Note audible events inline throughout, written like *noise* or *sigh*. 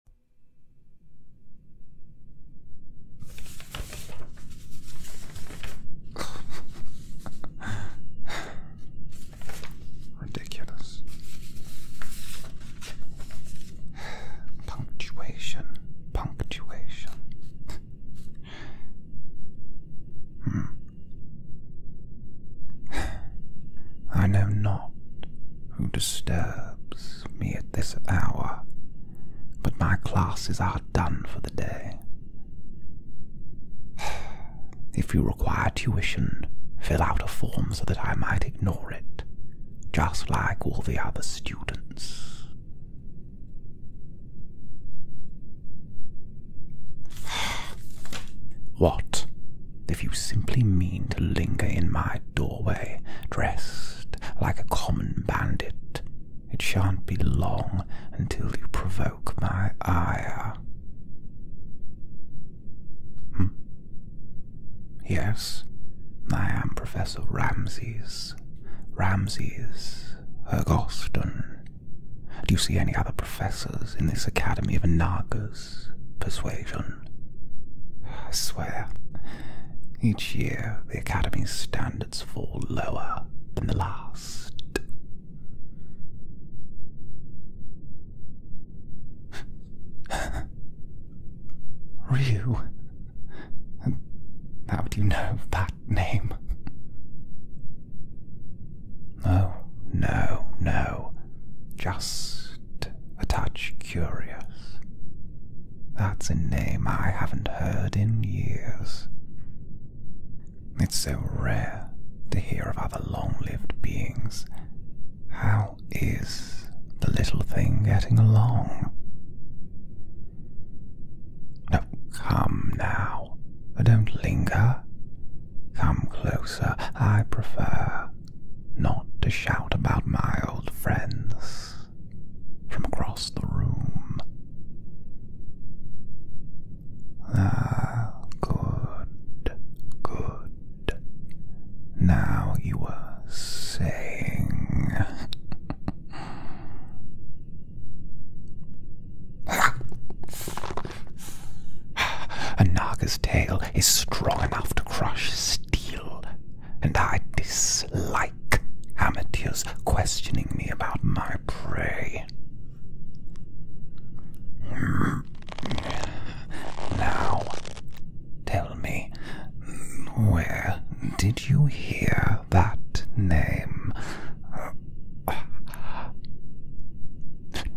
*sighs* Ridiculous. *sighs* Punctuation, punctuation. *sighs* Hmm. I know not who disturbs me at this hour, but my classes are done for the day. *sighs* If you require tuition, fill out a form so that I might ignore it, just like all the other students. *sighs* What? if you simply mean to linger in my doorway, dressed like a common bandit, it shan't be long until you provoke my ire. Hmm. Yes, I am Professor Ramses. Ramses Ergoston. Do you see any other professors in this Academy of Nagas persuasion? I swear, each year the Academy's standards fall lower than the last. *laughs* Ryu. How do you know that name? Oh, no, no. Just a touch curious. That's a name I haven't heard in years. It's so rare to hear of other long lived beings. How is the little thing getting along? come now. Don't linger. Come closer, I prefer not to shout about my old friends from across the room. Ah, good, good. Now you are saying. *laughs* A Naga's tail is strong enough to crush steel, and I dislike amateurs questioning me about my prey. Now, tell me, where did you hear that name?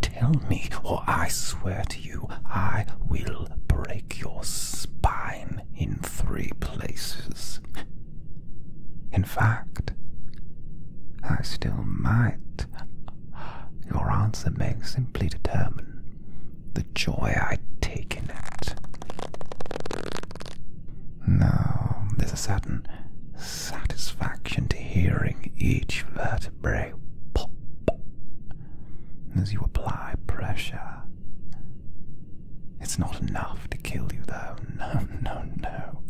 Tell me, or I swear to you, I will break your spine in three places. In fact, I still might. Your answer may simply determine the joy I take in it. Now, there's a certain satisfaction to hearing each vertebrae pop as you apply pressure. It's not enough to kill you, though. *laughs* No, no, no.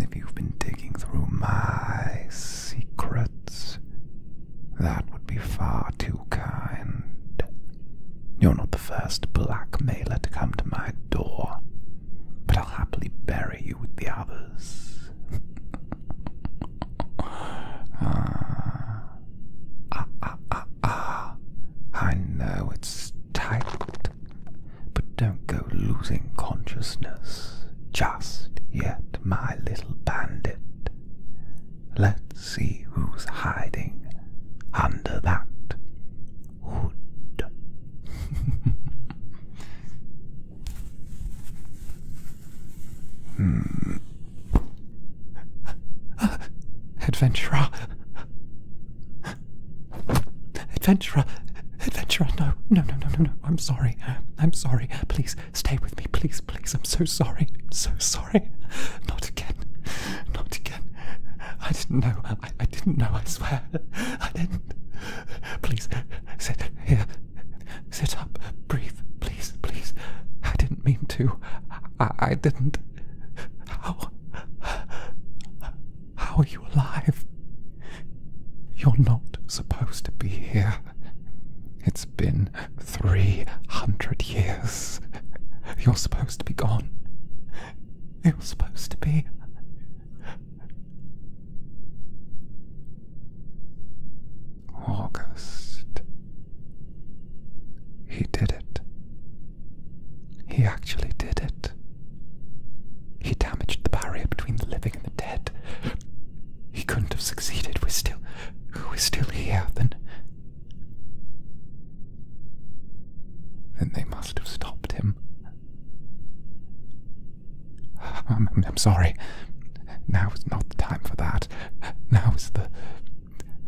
If you've been digging through my secrets, that would be far too kind. You're not the first blackmailer to come to my door, but I'll happily bury you with the others. *laughs* Ah, ah, ah, ah, I know it's tight, but don't go losing consciousness just yet, my little bandit. Let's see who's hiding under that hood. *laughs* hmm. Adventurer. Adventurer. Adventurer, no, no, no, no, no, no. I'm sorry. I'm sorry. Please stay with me. Please, please. I'm so sorry. I'm so sorry. Not again. Not again. I didn't know. I, I didn't know, I swear. I didn't. Please sit here. Sit up. Breathe. Please, please. I didn't mean to. I, didn't. How? How are you alive? You're not supposed to be here. It's been 300 years. You're supposed to be gone. You're supposed to be. August. He did it. He actually did it. He damaged the barrier between the living and the dead. He couldn't have succeeded. We're still. We're still here. Then. Then they must have stopped him. I'm, I'm sorry. Now is not the time for that. Now is the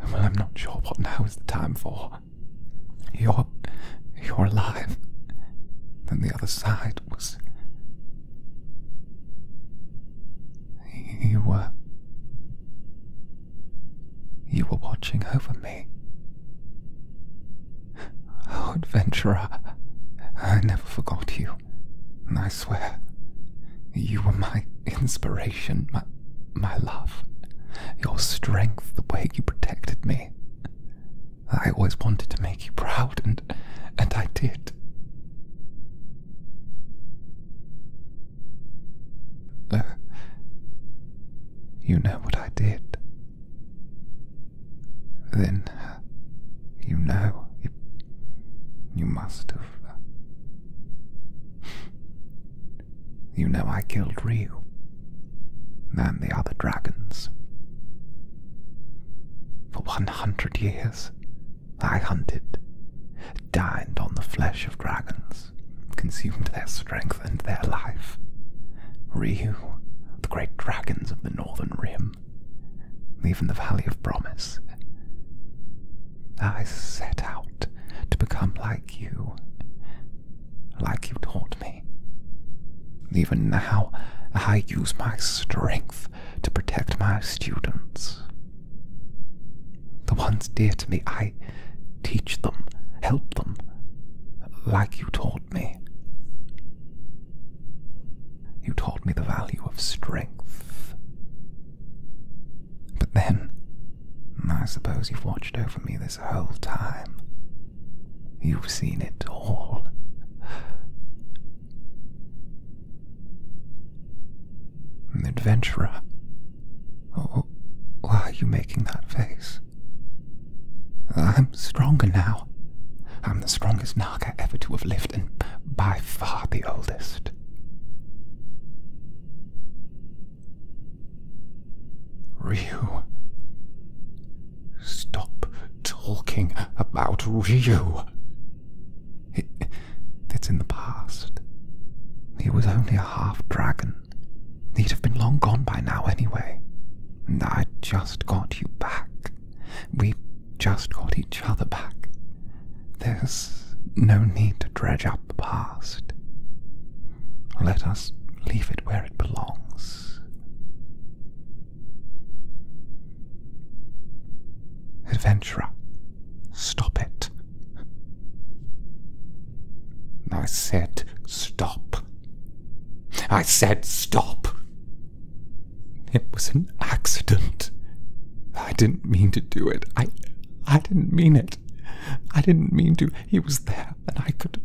well, I'm not sure what now is the time for. You're. you're alive. Then the other side was. You were. You were watching over me. Oh, adventurer, I never forgot you, and I where you were my inspiration, my, my love, your strength, the way you protected me. I always wanted to make you proud, and, and I did. Uh, you know what I did. Then uh, you know you, you must have uh, you know I killed Ryu and the other dragons. For 100 years, I hunted, dined on the flesh of dragons, consumed their strength and their life. Ryu, the great dragons of the Northern Rim, even the Valley of Promise. I set out to become like you, like you taught me. Even now, I use my strength to protect my students. The ones dear to me, I teach them, help them, like you taught me. You taught me the value of strength, but then, I suppose you've watched over me this whole time. You've seen it all. An adventurer. Oh, why are you making that face? I'm stronger now. I'm the strongest Naga ever to have lived, and by far the oldest it. Ryu. Stop talking about Ryu. it's in the past. He was only a half dragon. He'd have been long gone by now anyway. I just got you back. We just got each other back. There's no need to dredge up the past. Let us leave it where it belongs. Adventurer, stop it. I said stop. I said stop. It was an accident. I didn't mean to do it. I I didn't mean it. I didn't mean to. He was there, and I could.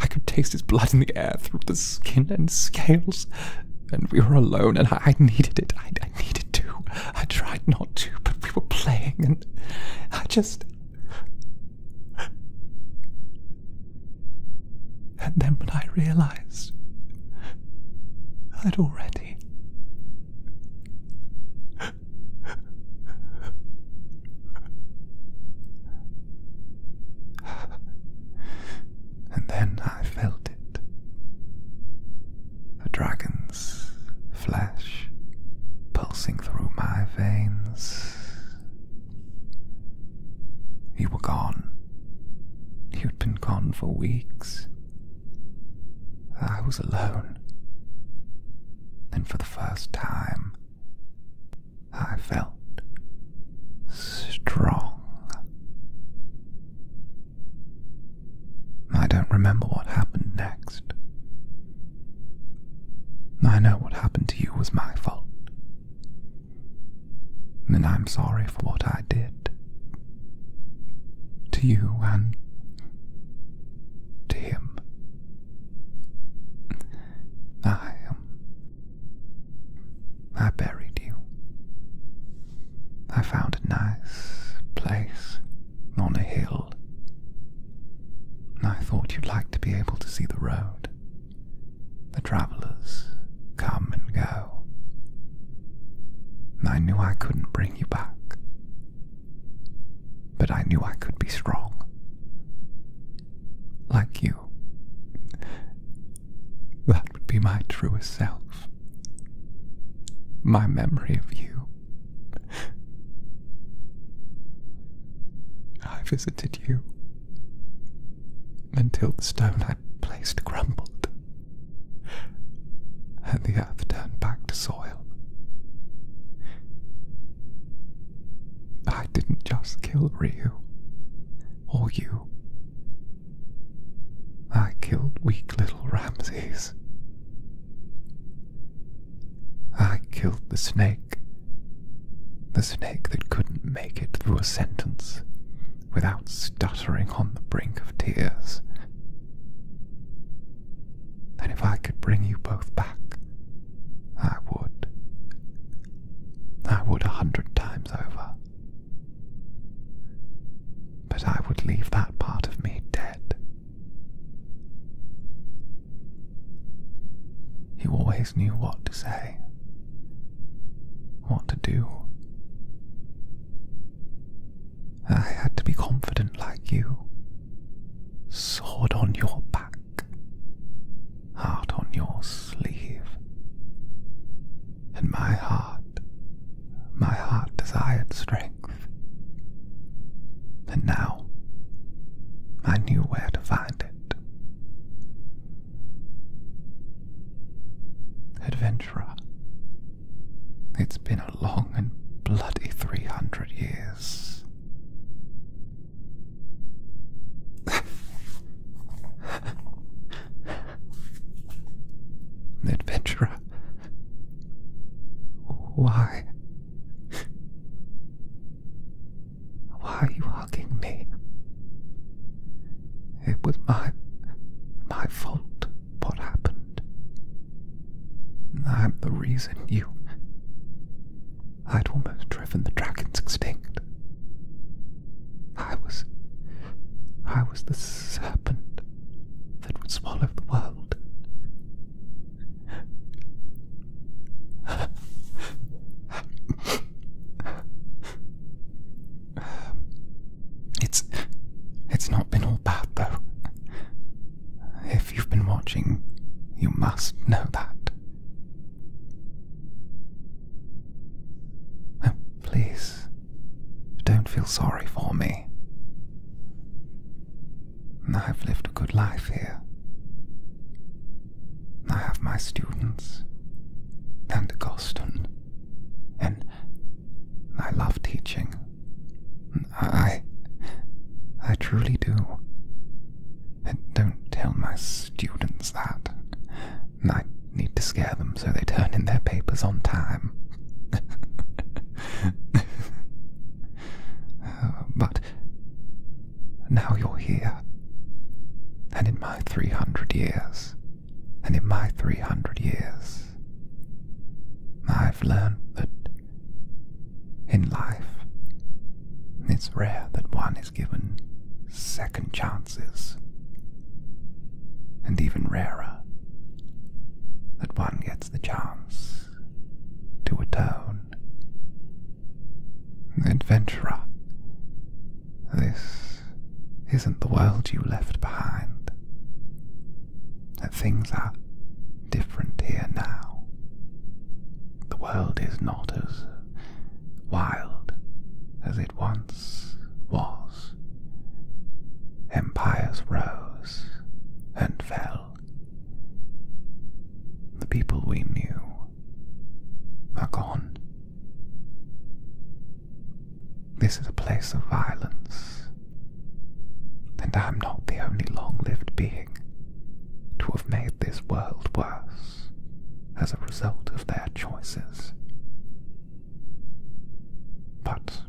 I could taste his blood in the air through the skin and scales. And we were alone, and I, I needed it. I, I needed to. I tried not to, but we were playing, and I just. And then when I realized I'd already and then I felt it a dragon's flesh pulsing through my veins. You were gone. You'd been gone for weeks. I was alone. And for the first time, I felt strong. I don't remember what happened next. I know what happened to you was my fault. And I'm sorry for what I did to you and to him. I I buried you. I found a nice place on a hill. I thought you'd like to be able to see the road. The travellers come and go. I knew I couldn't bring you back. But I knew I could be strong. Like you. That would be my truest self. My memory of you. I visited you until the stone I placed crumbled and the earth turned back to soil. I didn't just kill Ryu or you. I killed weak little Ramses. I killed the snake. The snake that couldn't make it through a sentence without stuttering on the brink of tears then if I could bring you both back, I would. I would a hundred times over. But I would leave that part of me dead. You always knew what to say, what to do. I had to be confident like you. Sword on your back, heart on your sleeve. And my heart, my heart desired strength. And now I knew where to find it. Adventurer, it's been a long and bloody 300 years. the *laughs* adventurer. Why? Why are you hugging me? It was my my fault what happened. I'm the reason you. I'd almost driven the dragons extinct. I was. I was the serpent that would swallow the world. It's. It's not been all bad, though. If you've been watching, you must know that. Oh, please, don't feel sorry for me. I've lived a good life here. I have my students, and Goston, and I love teaching. I. I truly do. Don't tell my students that. I need to scare them so they turn in their papers on time. *laughs* but now you're here, and in my 300 years, and in my 300 years, I've learned that in life. It's rare that one is given second chances, and even rarer that one gets the chance to atone. Adventurer, this isn't the world you left behind. That things are different here now. The world is not as wild as it once was. Empires rose and fell. The people we knew are gone. This is a place of violence and I'm not the only long lived being to have made this world worse as a result of their choices. But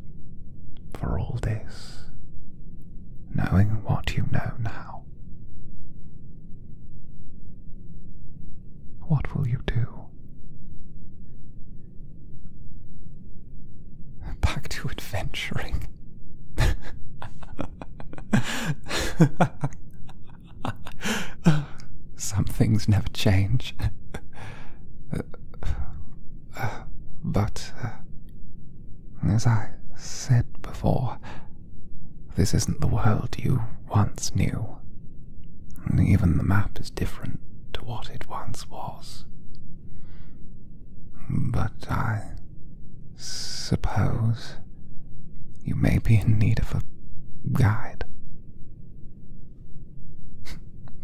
for all this, knowing what you know now, what will you do? Back to adventuring. Some things never change. but, uh, as I said before, this isn't the world you once knew. Even the map is different to what it once was. But I suppose you may be in need of a guide.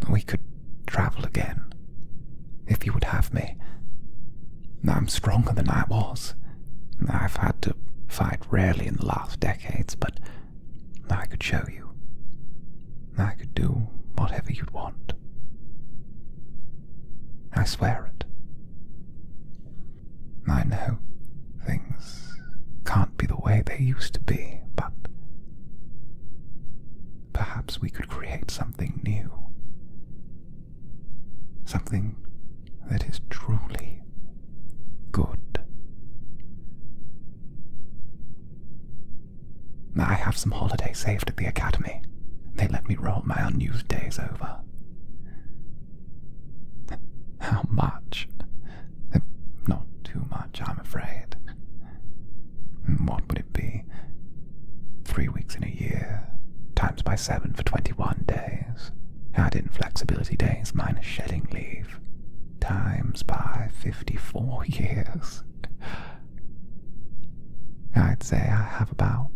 We could travel again if you would have me. I'm stronger than I was. I've had to fight rarely in the last decades, but I could show you. I could do whatever you'd want. I swear it. I know things can't be the way they used to be, but perhaps we could create something new. Something that is truly good. I have some holiday saved at the academy. They let me roll my unused days over. How much? Not too much, I'm afraid. What would it be? Three weeks in a year, times by seven for 21 days. Add in flexibility days minus shedding leave, times by 54 *laughs* years. I'd say I have about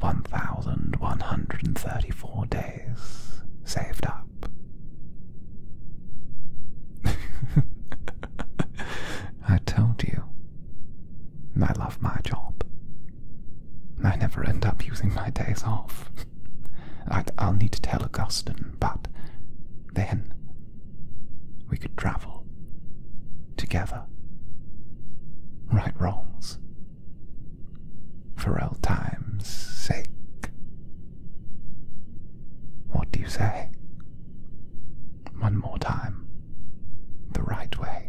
1,134 days saved up. *laughs* I told you. I love my job. I never end up using my days off. *laughs* i will need to tell Augustine, but then we could travel together, right wrongs, for old time's sake. What do you say? One more time, the right way.